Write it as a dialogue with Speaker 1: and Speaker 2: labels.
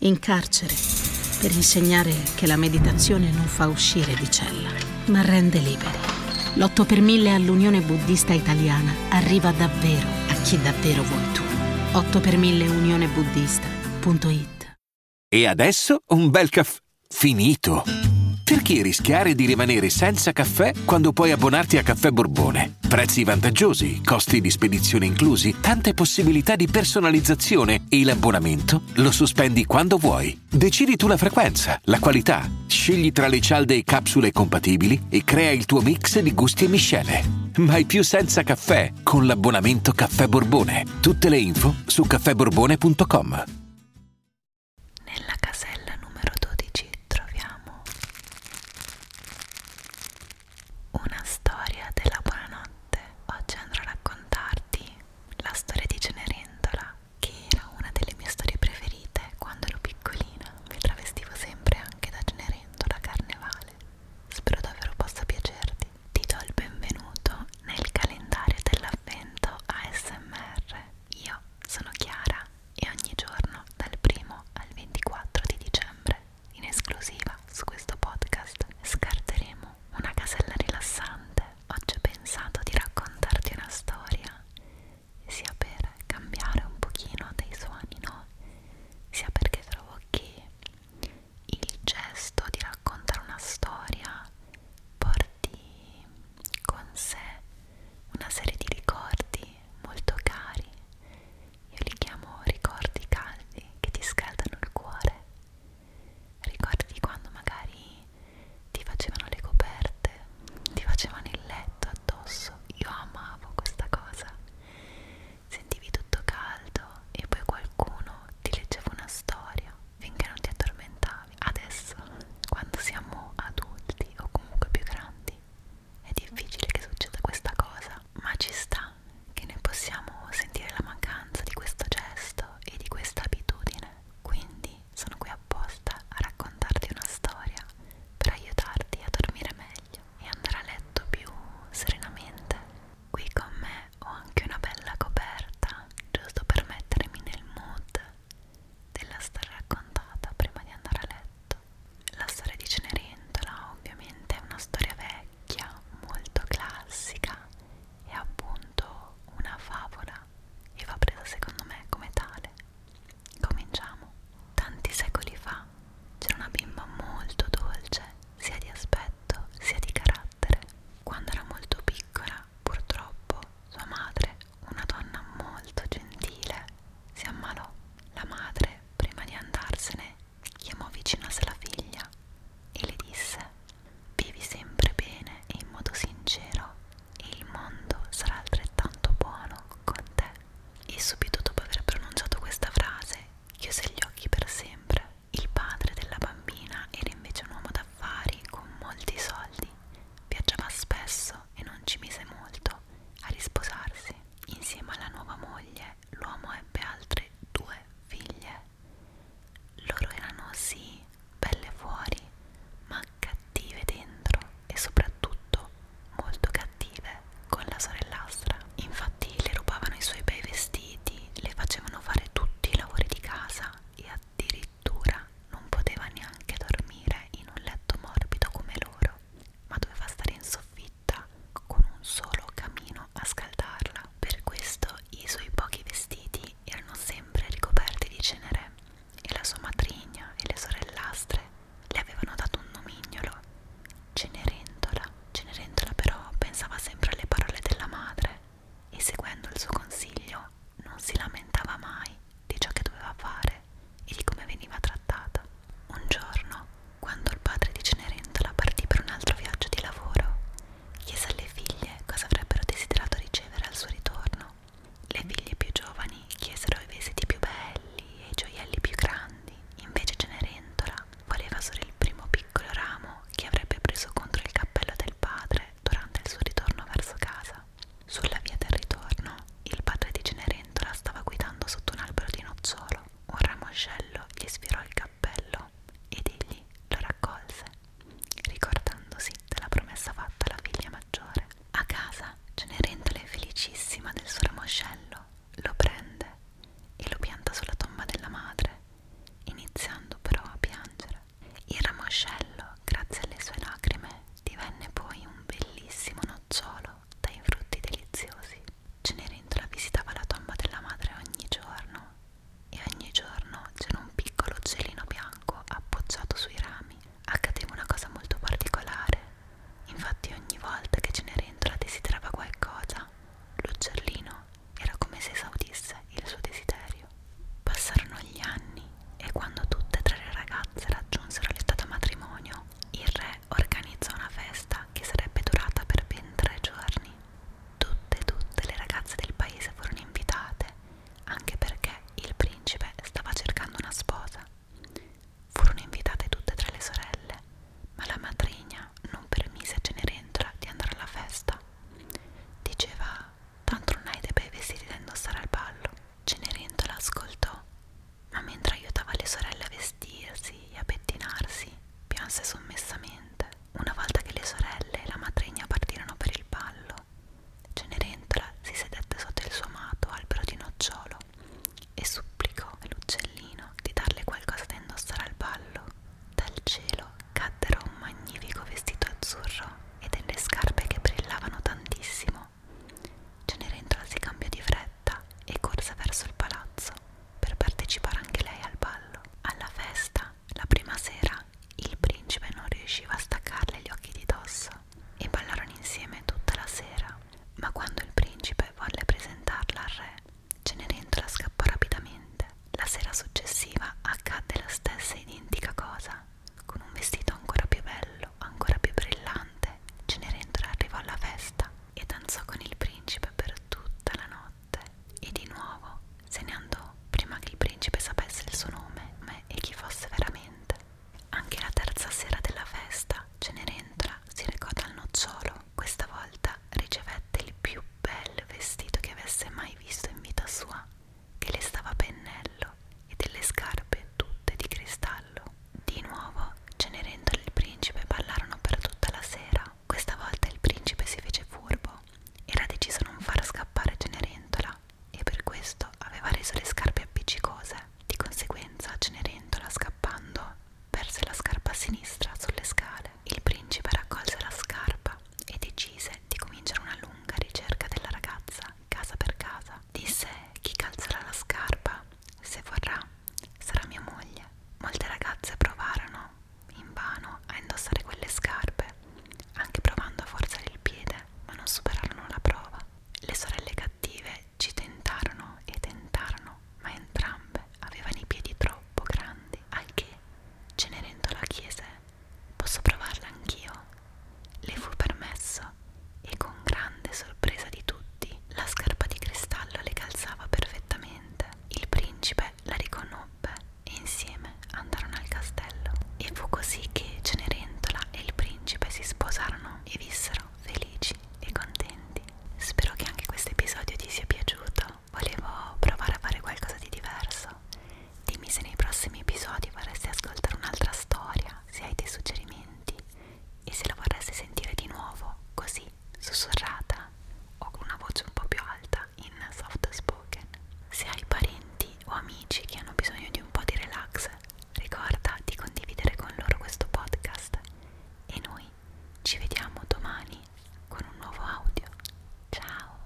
Speaker 1: in carcere per insegnare che la meditazione non fa uscire di cella, ma rende liberi. L'8 per 1000 all'Unione Buddista Italiana arriva davvero a chi davvero vuoi tu. 8 per 1000 unionebuddista.it E adesso un bel caffè finito. Perché rischiare di rimanere senza caffè quando puoi abbonarti a Caffè Borbone? Prezzi vantaggiosi voli, costi di spedizione inclusi, tante possibilità di personalizzazione e l'abbonamento lo sospendi quando vuoi. Decidi tu la frequenza, la qualità, scegli tra le cialde e capsule compatibili e crea il tuo mix di gusti e miscele. Mai più senza caffè con l'abbonamento Caffè Borbone. Tutte le info su caffèborbone.com. Nella casella numero 12 troviamo una storia della buonanotte. Oggi andrò a raccontarti la storia di Cenerentola, che era una delle mie storie preferite quando ero piccolina. Mi travestivo sempre anche da Cenerentola a carnevale. Spero davvero possa piacerti. Ti do il benvenuto nel calendario dell'avvento ASMR. Io sono Chiara e ogni giorno dal primo al 24 di dicembre in esclusiva su questo podcast scarteremo una casella rilassante. Oggi ho pensato di raccontarti una storia, sia per cambiare un pochino dei suoni, no? Sia perché trovo che il gesto di raccontare una storia porti con sé una serie di ricordi molto cari io li chiamo ricordi caldi che ti scaldano il cuore. Ricordi quando magari ti facevano le coperte, ti facevano il letto addosso. Io amavo questa cosa. Sentivi tutto caldo e poi qualcuno ti leggeva una storia finché non ti addormentavi. Adesso, quando siamo adulti o comunque più grandi, è difficile che succeda questa cosa, ma ci sta che ne possiamo sentire la mancanza di questo gesto e di questa abitudine. Quindi sono qui apposta a raccontarti una storia per aiutarti a dormire meglio e andare a letto più serenamente. Qui con me ho anche una bella coperta, giusto per mettermi nel mood della storia raccontata prima di andare a letto. La storia di Cenerentola ovviamente è una storia vecchia, molto classica, è appunto una favola e va presa secondo me come tale. Cominciamo. Tanti secoli fa c'era una bimba molto dolce, sia di aspetto sia di carattere. Quando era molto piccola, purtroppo, sua madre, una donna molto gentile, si ammalò. La madre prima di andarsene, chiamò vicino a sé la figlia e le disse: Vivi sempre bene e in modo sincero, e il mondo sarà altrettanto buono con te. E subito dopo aver pronunciato questa frase, chiuse gli occhi per sempre. Il padre della bambina era invece un uomo d'affari con molti soldi, viaggiava spesso e non ci mise molto a risposarsi. Insieme alla nuova moglie, l'uomo ebbe altre due figlie. Loro erano sì belle fuori, ma cattive dentro e soprattutto molto cattive con la sorellastra. Infatti le rubavano i suoi bei vestiti, le facevano fare tutti i lavori di casa e addirittura non poteva neanche dormire in un letto morbido come loro ma doveva stare in soffitta con un solo camino a scaldarla. Per questo i suoi pochi vestiti erano sempre ricoperti di cenere e la sua matrigna e le sorellastre le avevano dato un nomignolo, Cenerentola. Cenerentola però pensava sempre alle parole della madre e seguendo il suo consiglio non si lamentava mai di ciò che doveva fare madre e di come veniva trattata. Un giorno, quando il padre di Cenerentola partì per un altro viaggio di lavoro, chiese alle figlie cosa avrebbero desiderato ricevere al suo ritorno. Le figlie più giovani chiesero i vestiti più belli e i gioielli più grandi, invece Cenerentola voleva solo il primo piccolo ramo che avrebbe preso contro il cappello del padre durante il suo ritorno verso casa. Sulla via del ritorno, il padre di Cenerentola stava guidando sotto un albero di nocciolo. Un ramoscello gli sfirò il cappello ed egli lo raccolse, ricordandosi della promessa fatta alla figlia maggiore. A casa, Cenerentola è felicissima del suo ramoscello, lo prende e lo pianta sulla tomba della madre, iniziando però a piangere. Il ramoscello, grazie alle sue lacrime, Divenne poi un bellissimo nocciolo dai frutti deliziosi. Cenerentola visitava la tomba della madre ogni giorno e ogni giorno c'era un piccolo uccellino bianco appoggiato sui rami. Accadeva una cosa molto particolare. Infatti ogni volta che Cenerentola desiderava qualcosa, l'uccellino era come se esaudisse il suo desiderio. Passarono gli anni e quando tutte e tre le ragazze raggiunsero l'età da matrimonio, il re organizzò una festa che sarebbe durata per ben tre giorni. Tutte e tutte le ragazze del paese furono invitate, anche perché il principe stava cercando una sposa. Furono invitate tutte e tre le sorelle, ma la matrigna non permise a Cenerentola di andare alla festa. Diceva, tanto non hai dei bei vestiti da indossare al ballo, Cenerentola ascoltò, ma mentre aiutava le sorelle a vestirsi e a pettinarsi, pianse sommessamente. Una volta che le sorelle e la madregna partirono per il ballo, Cenerentola si sedette sotto il suo amato albero di nocciolo e supplicò all'uccellino di darle qualcosa da indossare al ballo. Dal cielo caddero un magnifico vestito azzurro e delle scarpe che brillavano tantissimo Cenerentola si cambia di fretta e corse verso il palazzo per partecipare anche lei al ballo. Alla festa, la prima sera, il principe non riusciva a staccarle gli occhi di dosso e ballarono insieme tutta la sera. Ma quando il principe volle presentarla al re, Cenerentola scappò rapidamente. La sera successiva accadde la stessa identica cosa. Con un vestito ancora più bello, ancora più brillante, Cenerentola arrivò alla festa e danzò con il principe per tutta la notte. E di nuovo se ne andò prima che il principe sapesse il suo nome me, e chi fosse veramente. Anche la terza sera della festa, Cenerentola si recò dal nocciolo. Questa volta ricevette il più bel vestito che avesse mai visto in vita sua che le stava a pennello e delle scarpe tutte di cristallo. Di nuovo Cenerentola e il principe ballarono per tutta la sera. Questa volta il principe si fece furbo. Era deciso a non far scappare Cenerentola e per questo aveva reso le scarpe appiccicose. Di conseguenza Cenerentola scappando perse la scarpa a sinistra sulle scale. Il principe raccolse la scarpa e decise di cominciare una lunga ricerca della ragazza casa per casa. Disse chi calzerà la scarpa, se vorrà, sarà mia moglie. Molte ragazze provarono, invano, a indossare quelle scarpe, anche provando a forzare il piede, ma non superarono la prova. Le sorelle cattive ci tentarono e tentarono, ma entrambe avevano i piedi troppo grandi, al che Cenerentola chiese Posso provarla anch'io? Le fu permesso e con grande sorpresa di tutti la scarpa di cristallo le calzava perfettamente. Il principe la riconobbe e insieme andarono al castello. E fu così che Cenerentola e il principe si sposarono e vissero felici e contenti. Spero che anche questo episodio ti sia piaciuto. Volevo provare a fare qualcosa di diverso Dimmi se nei prossimi episodi vorresti ascoltare un'altra storia, se hai dei suggerimenti e se la vorresti sentire di nuovo, così, sussurrata o con una voce un po' più alta, in soft spoken. Se hai parenti o amici che hanno bisogno di un po' di relax, ricorda di condividere con loro questo podcast e noi ci vediamo domani con un nuovo audio. Ciao!